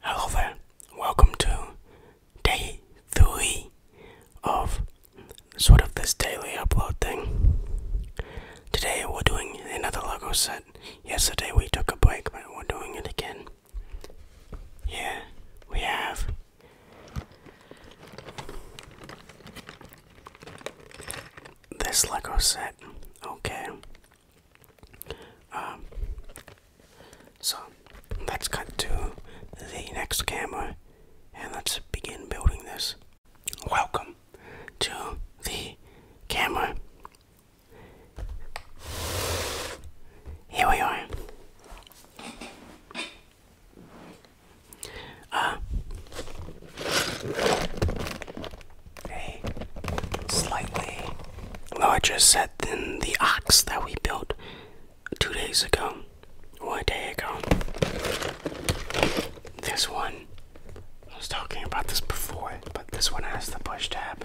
Hello there, welcome to day three of sort of this daily upload thing. Today we're doing another Lego set. Yesterday we took a break, but we're doing it again. Here we have this Lego set. Okay, um, so let's cut to the next camera and let's begin building this. Welcome to the camera. Here we are. Uh, a slightly larger set than the ox that we built two days ago one day ago. This one, I was talking about this before, but this one has the push tab.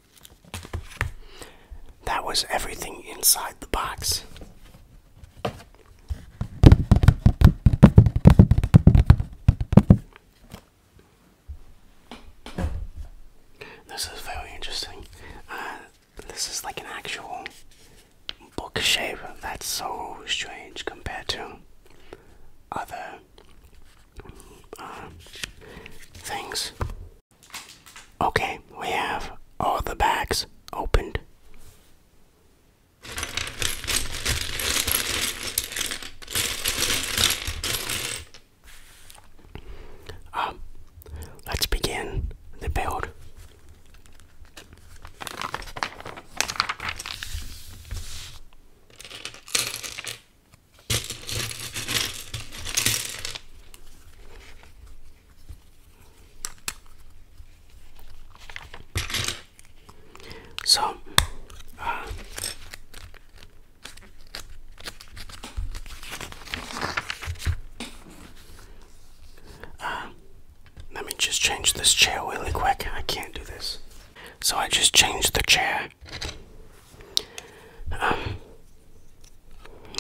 That was everything inside the box. This is very interesting. Uh, this is like an actual book shape. That's so strange compared to other uh, things. Okay, we have all the bags opened. Um, let's begin the build. So, uh, uh, let me just change this chair really quick. I can't do this. So, I just changed the chair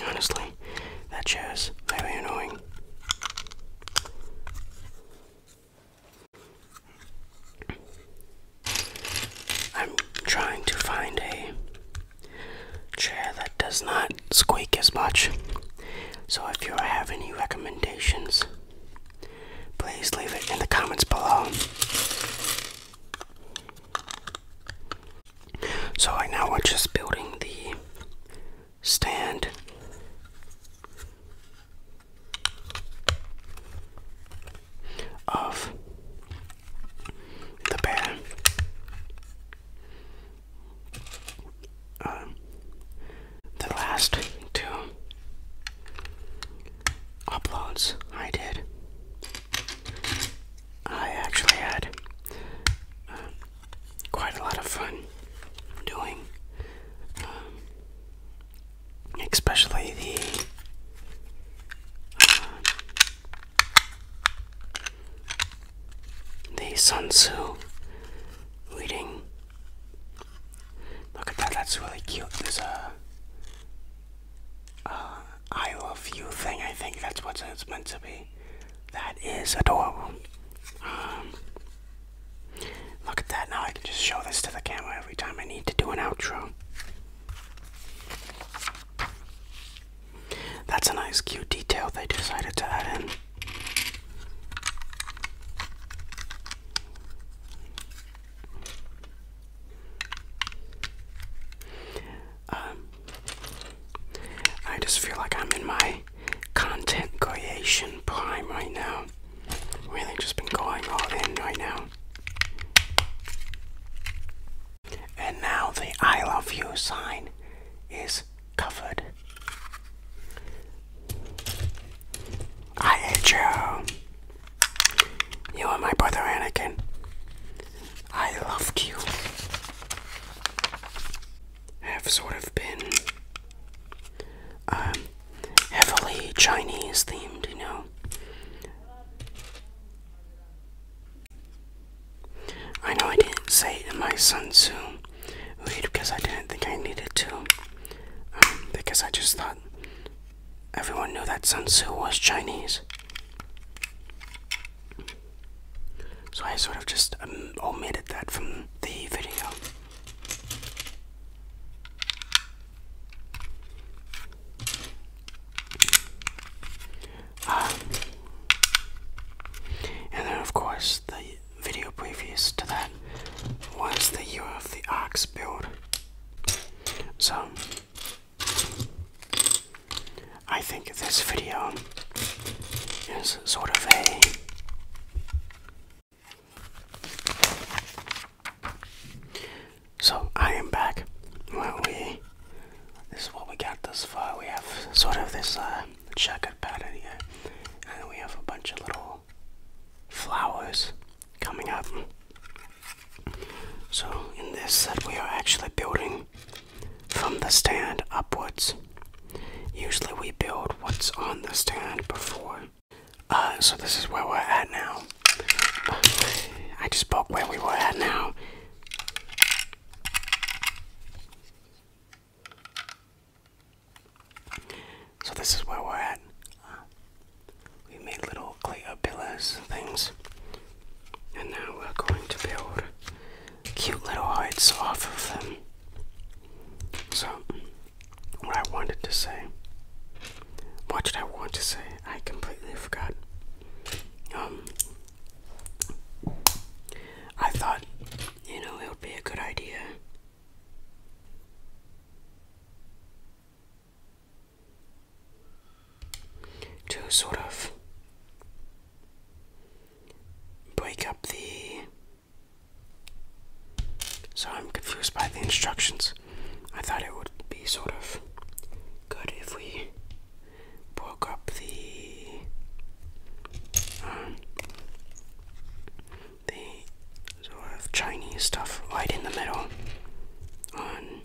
honestly, that chair's very annoying. I'm trying to find a chair that does not squeak as much. So if you have any recommendations, please leave it in the comments below. So I now we're just building the stand. Of the bear, um, the last two uploads I did I actually had um, quite a lot of fun doing, um, especially the um, the Sun Tzu reading. Look at that, that's really cute. There's a uh, I love you thing. I think that's what it's meant to be. That is adorable. Um, look at that. Now I can just show this to the camera every time I need to do an outro. That's a nice, cute detail they decided to add in. Um, I just feel like I'm in my content creation prime right now. Really just been going all in right now. And now the I love you sign is covered. I hate you. You are my brother Anakin. I loved you. Have sort of been um, heavily Chinese themed, you know. I know I didn't say to my son, Tzu wait," because I didn't think I needed to, um, because I just thought Everyone knew that Sun Tzu was Chinese. So I sort of just um, omitted that from the video. Ah. and then, of course, the video previous to that was the Year of the Ox build. So I think this video is sort of a so I am back. Well, we this is what we got thus far. We have sort of this uh, checkered pattern here, and we have a bunch of little flowers coming up. So, in this that we are actually building from the stand upwards. Usually, we build what's on the stand before. Uh, so, this is where we're at now. I just spoke where we were at now. So, this is where we're at. we made little clay pillars, things. And now we're going to build cute little heights off of them. So, what I wanted to say. What did I want to say? I completely forgot. Um, I thought, you know, it would be a good idea to sort of break up the. So I'm confused by the instructions. I thought it would be sort of good if we broke up the um, the sort of Chinese stuff right in the middle on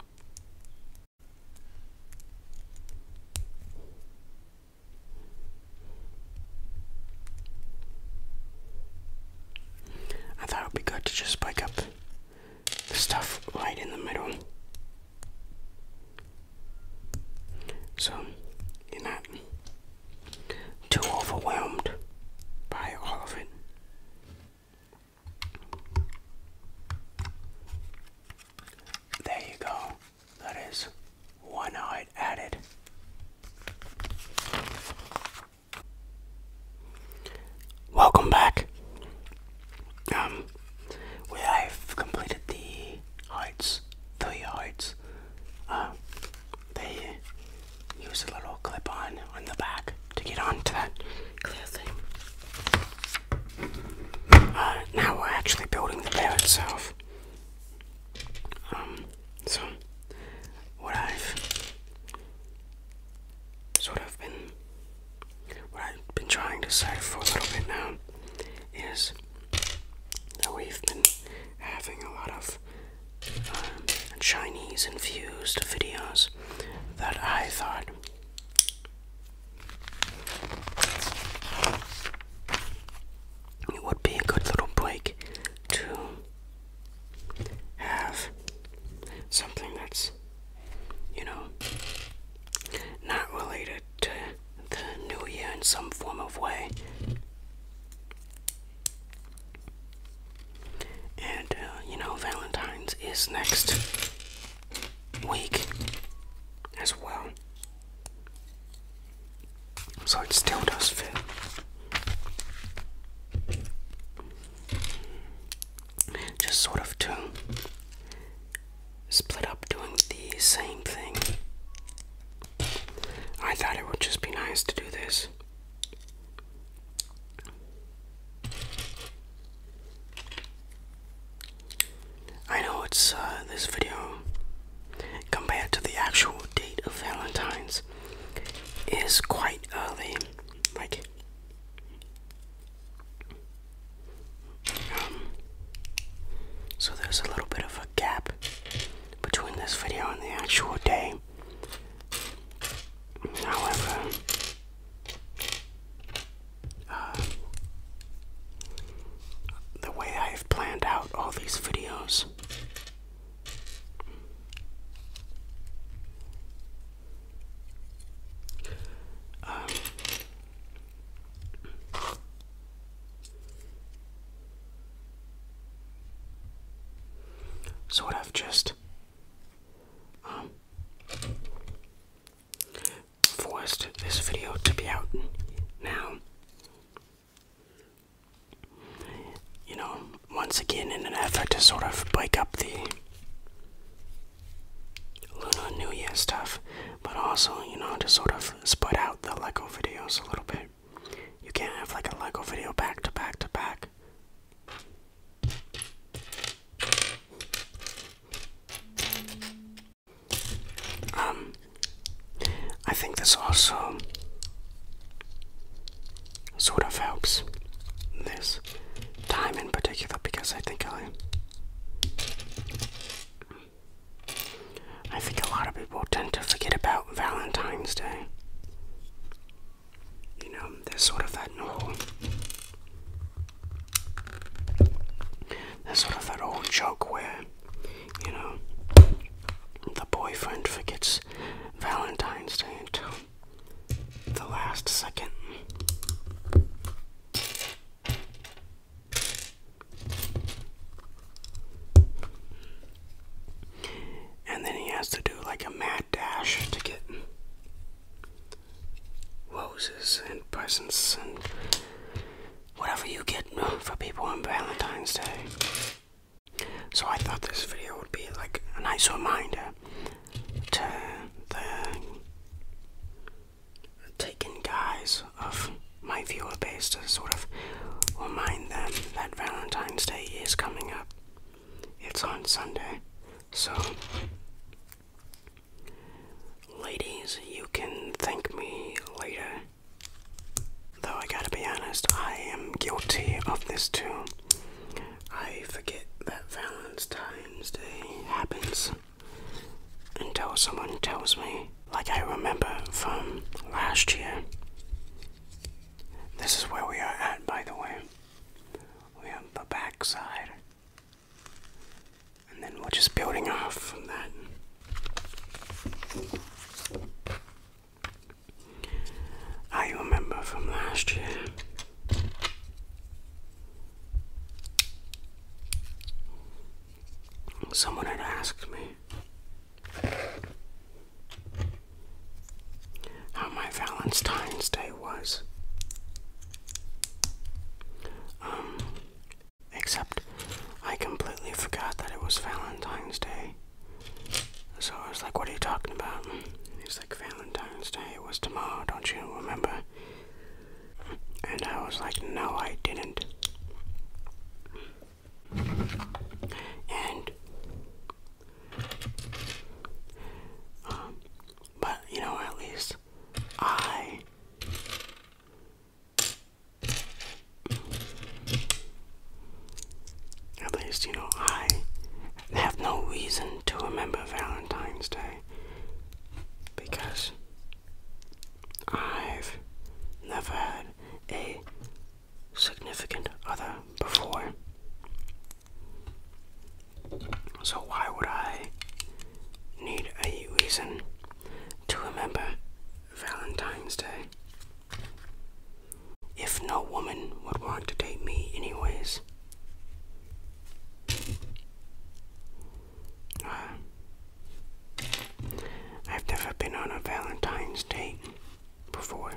I thought it would be good to just spike up the stuff right in the middle. So you're not too overwhelmed by all of it. There you go. That is one eye added. Welcome back. Um, we have completed the heights, three heights. Uh, they use a little clip on on the back to get onto that clear thing. Uh, now we're actually building the bear itself. Um, so what I've sort of been, what I've been trying to say for a little bit now is that we've been having a lot of um, Chinese infused videos that I thought it would be a good little break to have something that's, you know, not related to the new year in some form of way. And, uh, you know, Valentine's is next weak as well. So it still does fit. Just sort of to split up doing the same thing. I thought it would just be nice to do this. I know it's uh, this video compared to the actual date of Valentine's is quite early, like um, so there's a little bit of a gap between this video and the actual day. However, um, the way I've planned out all these videos. Um, sort of just um, forced this video to be out now. You know, once again, in an effort to sort of break up the Lunar New Year stuff, but also, you know, to sort of spread out the LEGO videos a little bit. You can't have like a LEGO video back to back to back. Um, I think this also sort of helps this time in particular because I think I, I think a lot of people tend to forget about Valentine's Day. You know, there's sort of that whole there's sort of that old joke where, you know, the boyfriend forgets Valentine's Day until the last second. And then he has to do like a mad dash to get roses and presents and whatever you get for people on Valentine's Day. So I thought this video would be like a nice reminder to the taken guys of my viewer base to sort of remind them that Valentine's Day is coming up. It's on Sunday. So Ladies, you can thank me later. Though I gotta be honest, I am guilty of this too. I forget that Valentine's Day happens until someone tells me, like I remember from last year. This is where we are at, by the way. We have the backside and then we're just building off from that. I ah, remember from last year. Someone had asked me how my Valentine's Day was. Um, except I completely forgot that it was Valentine's Day. So I was like, What are you talking about? He's like, Valentine's Day was tomorrow, don't you remember? And I was like, No, I didn't. And um, but you know, at least I at least, you know, I have no reason to remember Valentine's Day because I've never had a significant other before. So, why would I need a reason to remember Valentine's Day? If no woman would want to date me, anyways. Uh, I've never been on a Valentine's date before.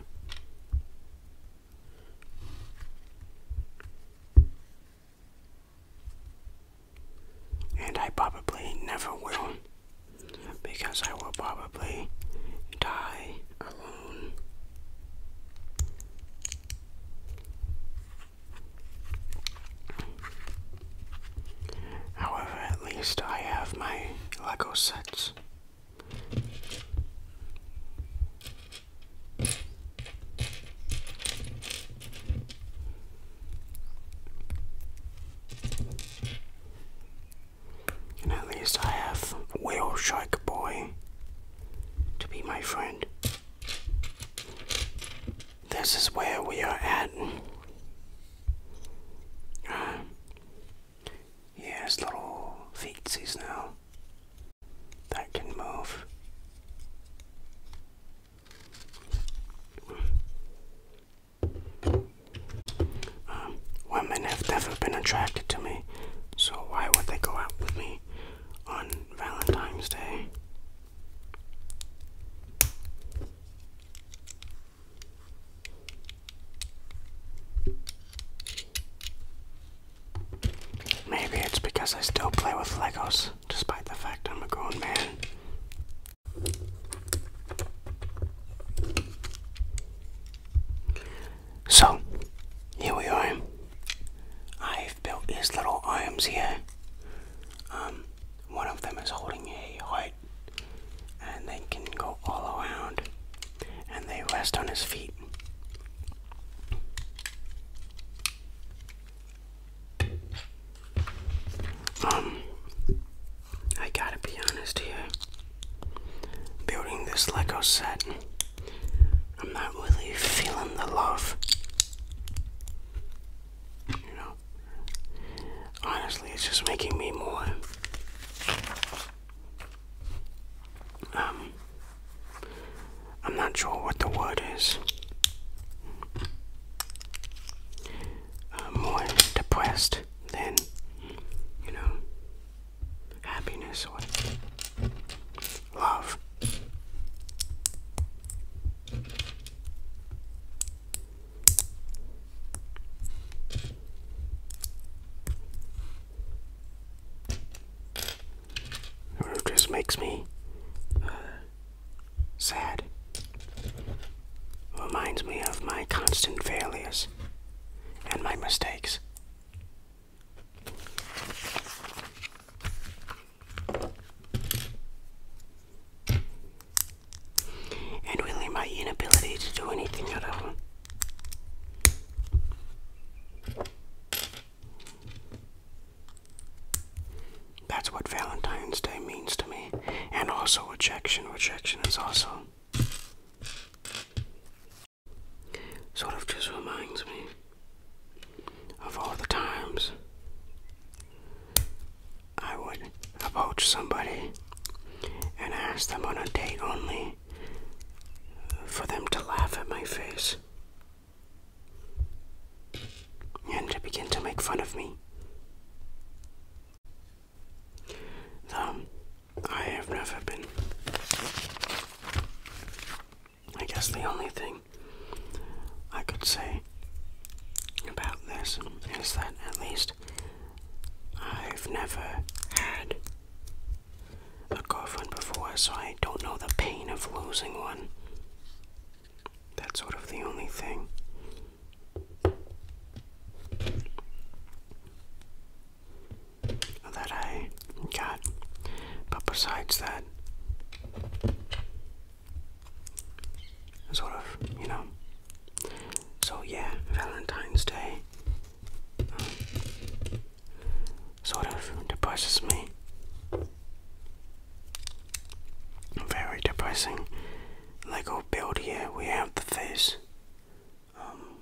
And I probably never will, because I will probably die alone. However, at least I have my Lego sets at least I have Whale Boy to be my friend. This is where we are at. Uh, yeah, little feetsies now that can move. Um, women have never been attracted to me, so why would they go out with me on Valentine's Day? Maybe it's because I still play with Legos despite the fact I'm a grown man. So, here we are. I've built his little arms here. Um, one of them is holding a heart, and they can go all around, and they rest on his feet. Um, I gotta be honest here. Building this Lego set, I'm not really feeling the love. You know, honestly, it's just making me more. Um, I'm not sure what the word is. more depressed than, you know, happiness or love. It just makes me uh, Sad. Reminds me of my constant failures and my mistakes. And really, my inability to do anything at all. That's what Valentine's Day means to me. And also rejection. Rejection is also sort of just reminds me of all the times I would approach somebody and ask them on a date only for them to laugh at my face and to begin to make fun of me. Though I have never been. I guess the only thing I could say about this is that at least I've never had a girlfriend before, so I don't know the pain of losing one. That's sort of the only thing. That I got, but besides that, sort of, you know. So, yeah, Valentine's Day um, sort of depresses me. Very depressing. Lego oh, build here, we have the face. Um,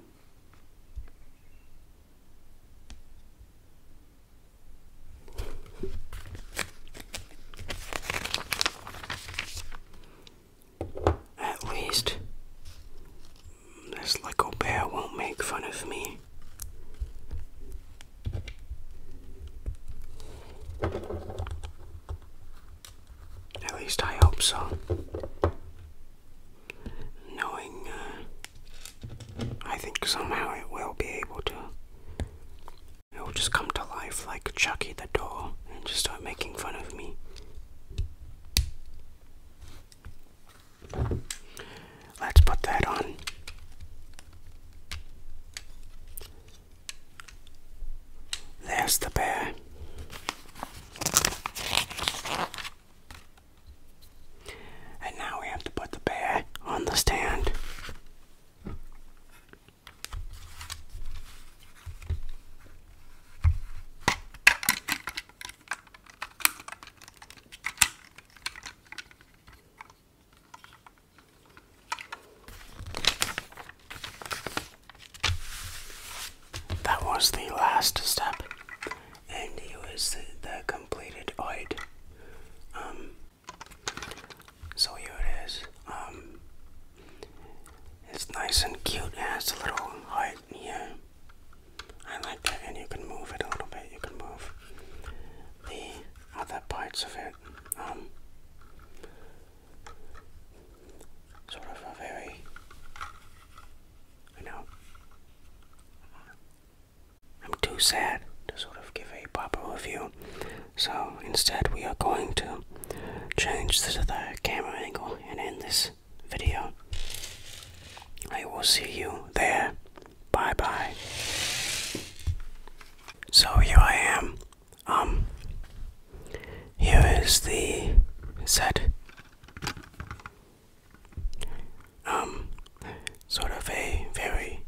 at least this Lego bear won't make fun of me. At least I hope so. Knowing, uh, I think somehow it will be able to. It will just come to life like Chucky the doll and just start making fun of me. Let's put that on. There's the bear. And now we have to put the bear on the stand. That was the last step, and it was the, completed oid. Um, so here it is. Um, it's nice and cute. It has a little height here. I like that, and you can move it a little bit. You can move the other parts of it. Um, sort of a very, you know, I'm too sad to sort of give a proper review. So instead, we are going to change the, the camera angle and end this video. I will see you there. Bye bye. So here I am. Um, here is the set. Um, sort of a very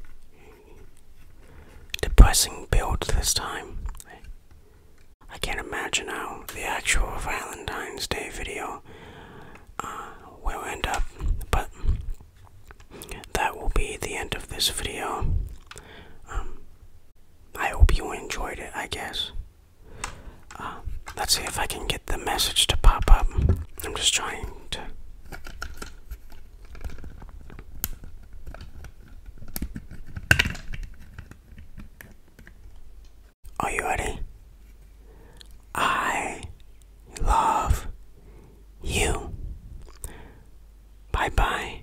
depressing build this time. I can't imagine how the actual Valentine's Day video uh, will end up, but that will be the end of this video. Um, I hope you enjoyed it, I guess. Um, let's see if I can get the message to pop up. I'm just trying to. Are you ready? I love you. Bye bye.